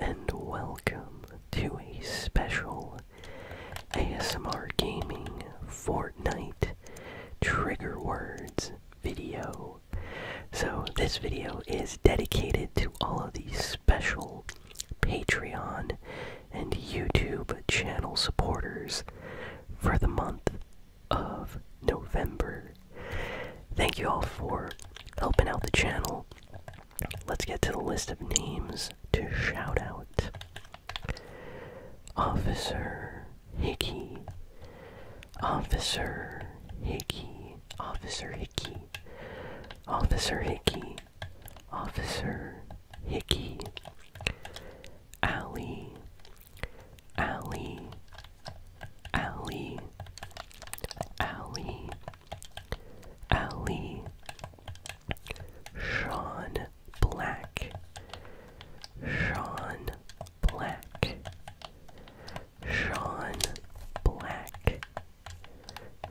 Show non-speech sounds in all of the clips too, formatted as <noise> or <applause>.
and welcome to a special ASMR Gaming Fortnite Trigger Words video. So, this video is dedicated to all of the special Patreon and YouTube channel supporters for the month of November. Thank you all for helping out the channel Let's get to the list of names to shout out. Officer Hickey. Officer Hickey. Officer Hickey. Officer Hickey. Officer Hickey. Alley. Alley. Alley. Alley. Alley. Sean Black. Sean Black. Sean Black.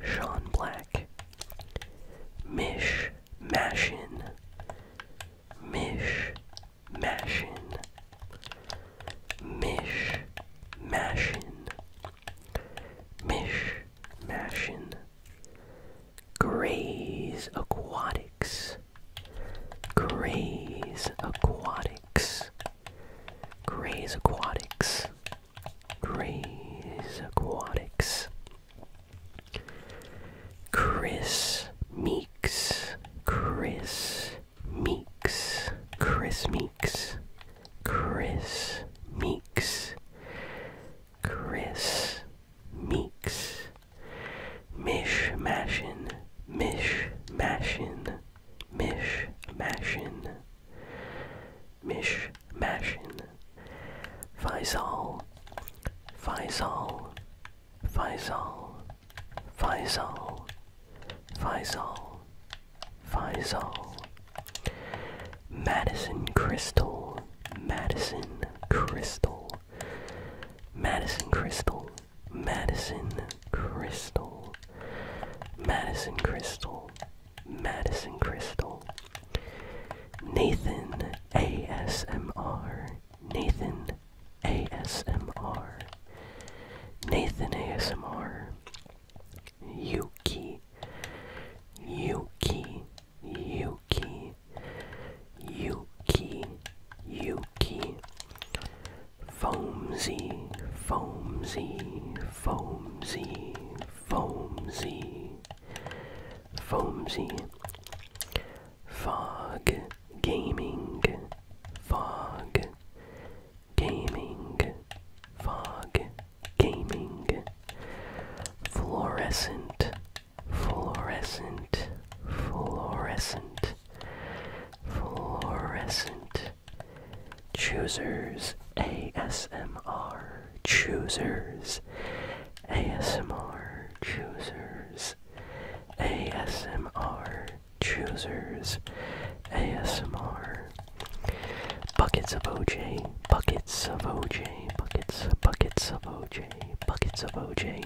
Sean Black. Mish Mashin. Mish Mashin. Mish Mashin. Mish Mashin, Graze Aquatics, Graze Aquatics, Graze Aquatics, Graze Aquatics, Chris Meeks, Chris Meeks, Chris Meeks. Chris Meeks. Chris Meeks. Mish Mashin. Mish Mashin. Mish Mashin. Mish Mashin. Faisal. Faisal. Faisal. Faisal. Faisal. Faisal, Madison Crystal, Madison Crystal, Madison Crystal, Madison Crystal, Madison Crystal, Nathan ASMR, Nathan ASMR, Nathan ASMR. Yuki, Yuki, Yuki, Yuki, Yuki, Foamsy, Foamsy, Foamsy, Foamsy, Foamsy, Fog Gaming, Fog Gaming, Fog gaming fluorescent fluorescent fluorescent fluorescent choosers ASMR choosers ASMR choosers ASMR choosers ASMR Buckets of OJ, buckets of OJ, buckets, buckets of OJ, buckets of OJ.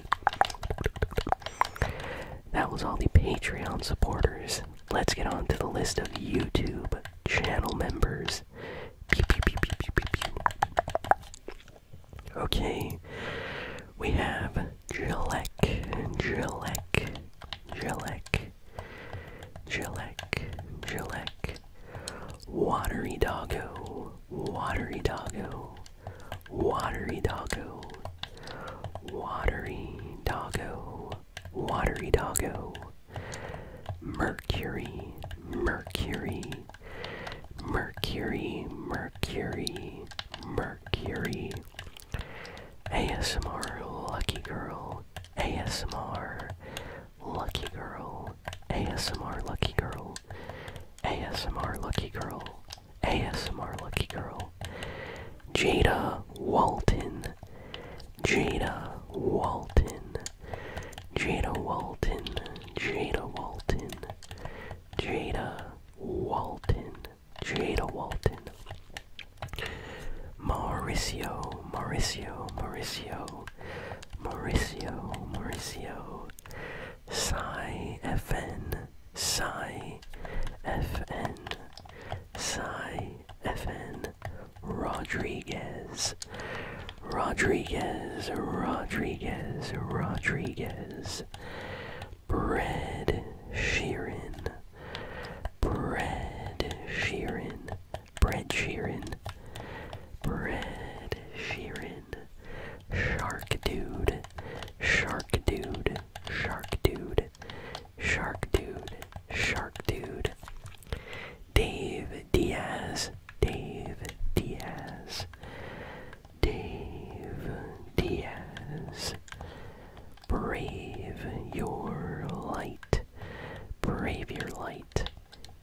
That was all the Patreon supporters. Let's get on to the list of YouTube channel members. Okay, we have Jillek, Jillek, Jillek, Gillek, Gillek, Watery Doggo, Watery Doggo, Watery Doggo, Watery Doggo, Watery Doggo, Mercury, Mercury, Mercury, Mercury, Mercury, ASMR Lucky Girl, ASMR Lucky Girl, ASMR Lucky Girl, ASMR Lucky Girl, ASMR Lucky Girl, Jada Walton, Jada Walton, Jada Walton, Jada Walton, Jada Walton, Jada Walton, Mauricio, Mauricio, Mauricio. Mauricio, Mauricio, Psy FN, Psy FN, Psy FN, Rodriguez, Rodriguez, Rodriguez, Rodriguez, Bread Sheeran, Bread Sheeran, Bread Sheeran. Bread Sheeran. Shark Dude. Shark Dude. Shark Dude. Shark Dude. Shark Dude. Dave Diaz. Dave Diaz. Dave Diaz. Brave your light. Brave your light.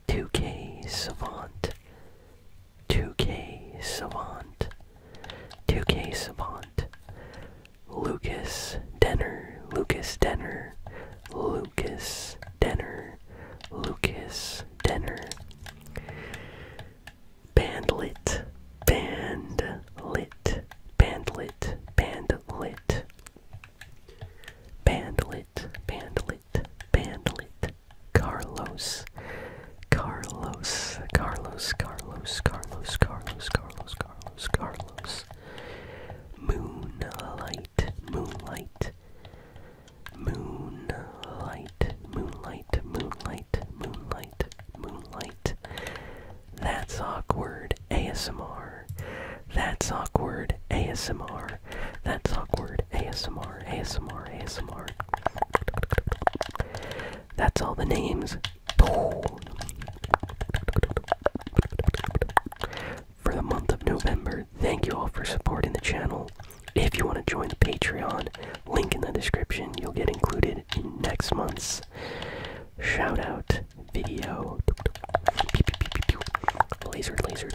2K Savant, 2K Savant, 2K Savant, Lucas Denner, Lucas Denner, Lucas Denner, Lucas Denner, Bandlit, Bandlit, Bandlit, Bandlit, Bandlit, Bandlit, Bandlit, Carlos, Carlos, Carlos, Carlos, Carlos, Carlos, Carlos, Carlos, Carlos, Moonlight, Moonlight, Moonlight, Moonlight, Moonlight, Moonlight, Moonlight. That's awkward. ASMR. That's awkward ASMR. That's awkward ASMR. ASMR. ASMR. That's all the names. For the month of November, thank you all for supporting the channel. If you want to join the Patreon, link in the description, you'll get included in next month's shout out video. Laser, laser.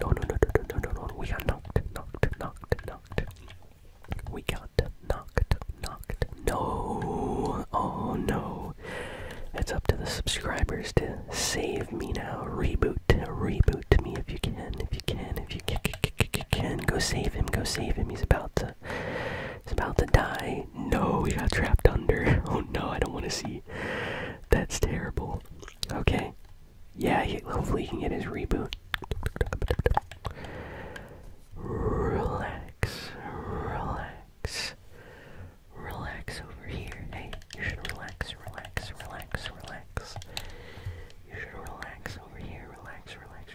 No, no, no, no, no, no, no. We got knocked, knocked, knocked, knocked. We got knocked, knocked. No, oh no. It's up to the subscribers to save me now. Reboot, reboot to me if you can, if you can, if you can, go save him, go save him. He's about to, he's about to die. No, he got trapped under. <laughs> Oh no, I don't want to see. That's terrible. Okay, yeah, hopefully he can get his reboot. Relax, relax, relax over here. Hey, you should relax, relax, relax, relax. You should relax over here. Relax, relax,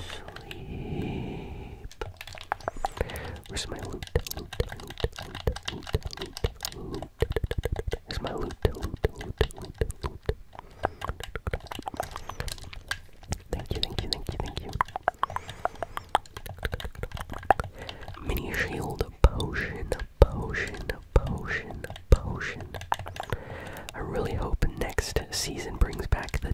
Sleep. Where's my loot? Where's my loot. Thank you, thank you, thank you, thank you. Mini shield, potion, potion, potion, potion. I really hope next season brings back the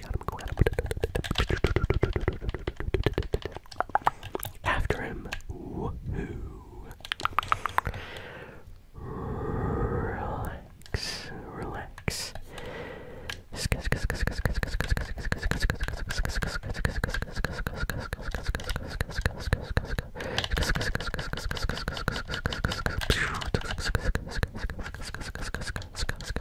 you got him, go at him. After him. Woohoo. Relax, relax.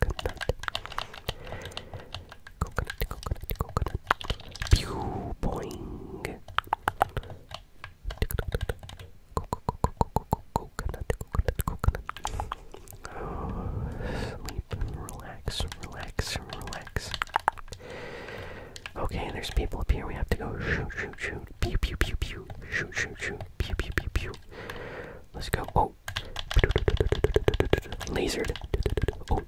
coconut. Coconut, coconut, coconut. Pew boing. Coconut, coconut, coconut. Oh, sleep, relax, relax, relax. Okay, there's people up here. We have to go shoot, shoot, shoot. Pew, pew, pew, pew. Shoot, shoot, shoot. Pew, pew, pew, pew. Let's go. Oh, Oh. Lasered. Oh.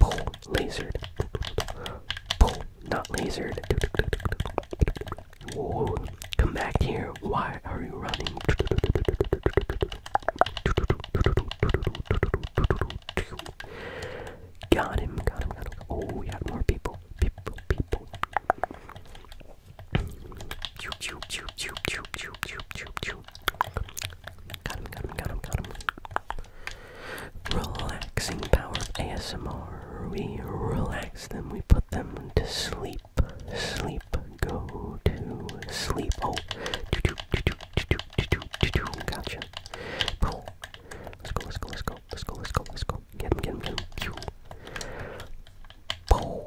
Pull. Lasered. Pull. Not lasered. Whoa. Come back here. Why are you running? Got him, got him, got him. Oh, we got more people. People, people. Got him, got him, got him, got him. Relaxing power of ASMR. We relax them, we put them to sleep. Sleep, go to sleep. Oh, gotcha. Cool. Let's go, let's go, let's go, let's go, let's go, let's go. Get him, get him, get him. Pew. Boom.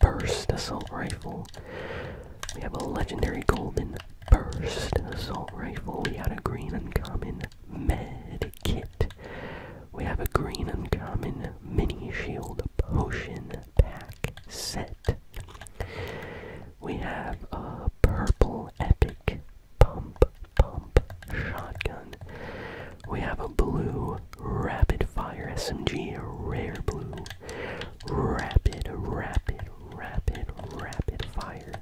burst assault rifle. We have a legendary golden burst assault rifle. We had a green uncommon med kit. We have a green uncommon mini shield potion pack set. We have a purple epic pump pump shotgun. We have a blue Rapid Fire SMG Rare Blue. Rapid, rapid, rapid, rapid fire.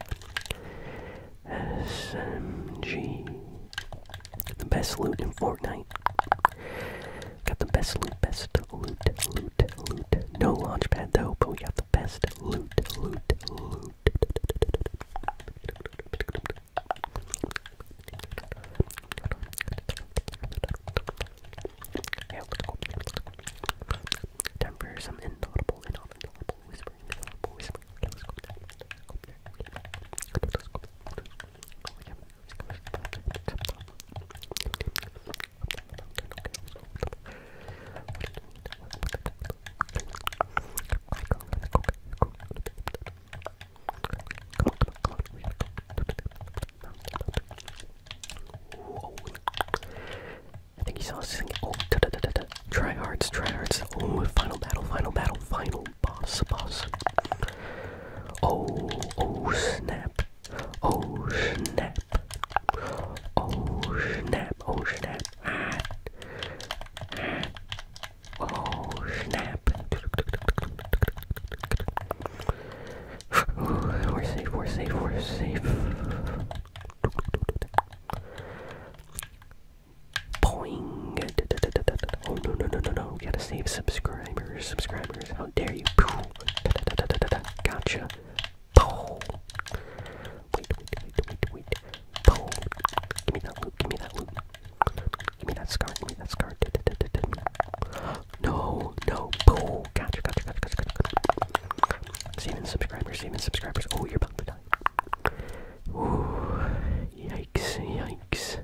SMG. The best loot in Fortnite. Got the best loot, best loot, loot, loot. No launch pad though, but we got the best loot, loot, loot. Yeah, let's go. Time for some inaudible, inaudible whispering, inaudible whispering. Okay, let's go there. Let's go there. Let's go there. Okay, Oh. I think he saw us singing. Oh, da da Oh, final battle, final battle, final boss, boss. Oh, oh snap. Oh snap. Oh snap, oh snap. Ah. Ah. Oh snap! we're safe, we're safe, we're safe. Boing! Oh no no no no no! We gotta save subscribers, subscribers! How dare you! Gotcha! Wait wait wait wait wait! Give me that loot! Give me that loot! Give me that scar. Give me that scar. No, no. Boom. Gotcha, gotcha, gotcha, gotcha, gotcha. Saving subscribers, saving subscribers. Oh, you're about to die. Ooh. Yikes, yikes.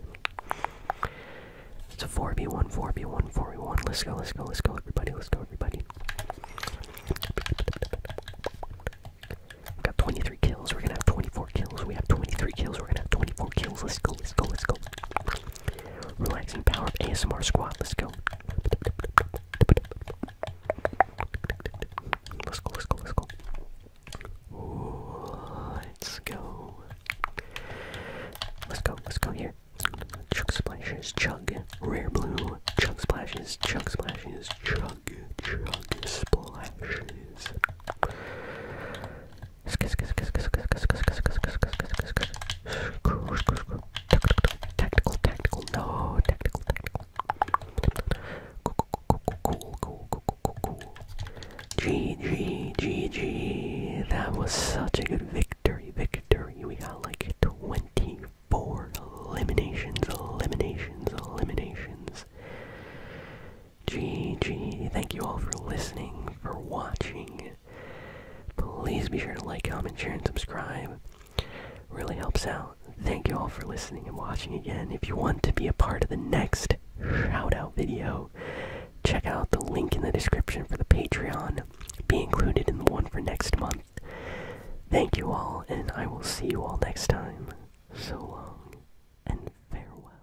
It's a 4v1, 4v1, 4v1. Let's go, let's go, let's go, everybody. Let's go, everybody. We've got 23 kills. We're gonna have 24 kills. We have 23 kills. We're gonna have 24 kills. Let's go, let's go, let's go. Relaxing power of ASMR squat. Let's go. Let's go, let's go, let's go. Let's go. Let's go, let's go here. Chug splashes, chug, rare blue, chug splashes, chug splashes, chug, chug splashes. Tactical, tactical, no, tactical, tactical. Cool, cool, cool, cool, cool. GG, GG. That was such a good victory, victory. We got like 24 eliminations, eliminations, eliminations. GG. Thank you all for listening, for watching. Please be sure to like, comment, share, and subscribe. Really helps out. Thank you all for listening and watching again. If you want to be a part of the next shout out video, check out the link in the description for the Patreon. Be included in the one for next month. Thank you all, and I will see you all next time. So long, and farewell.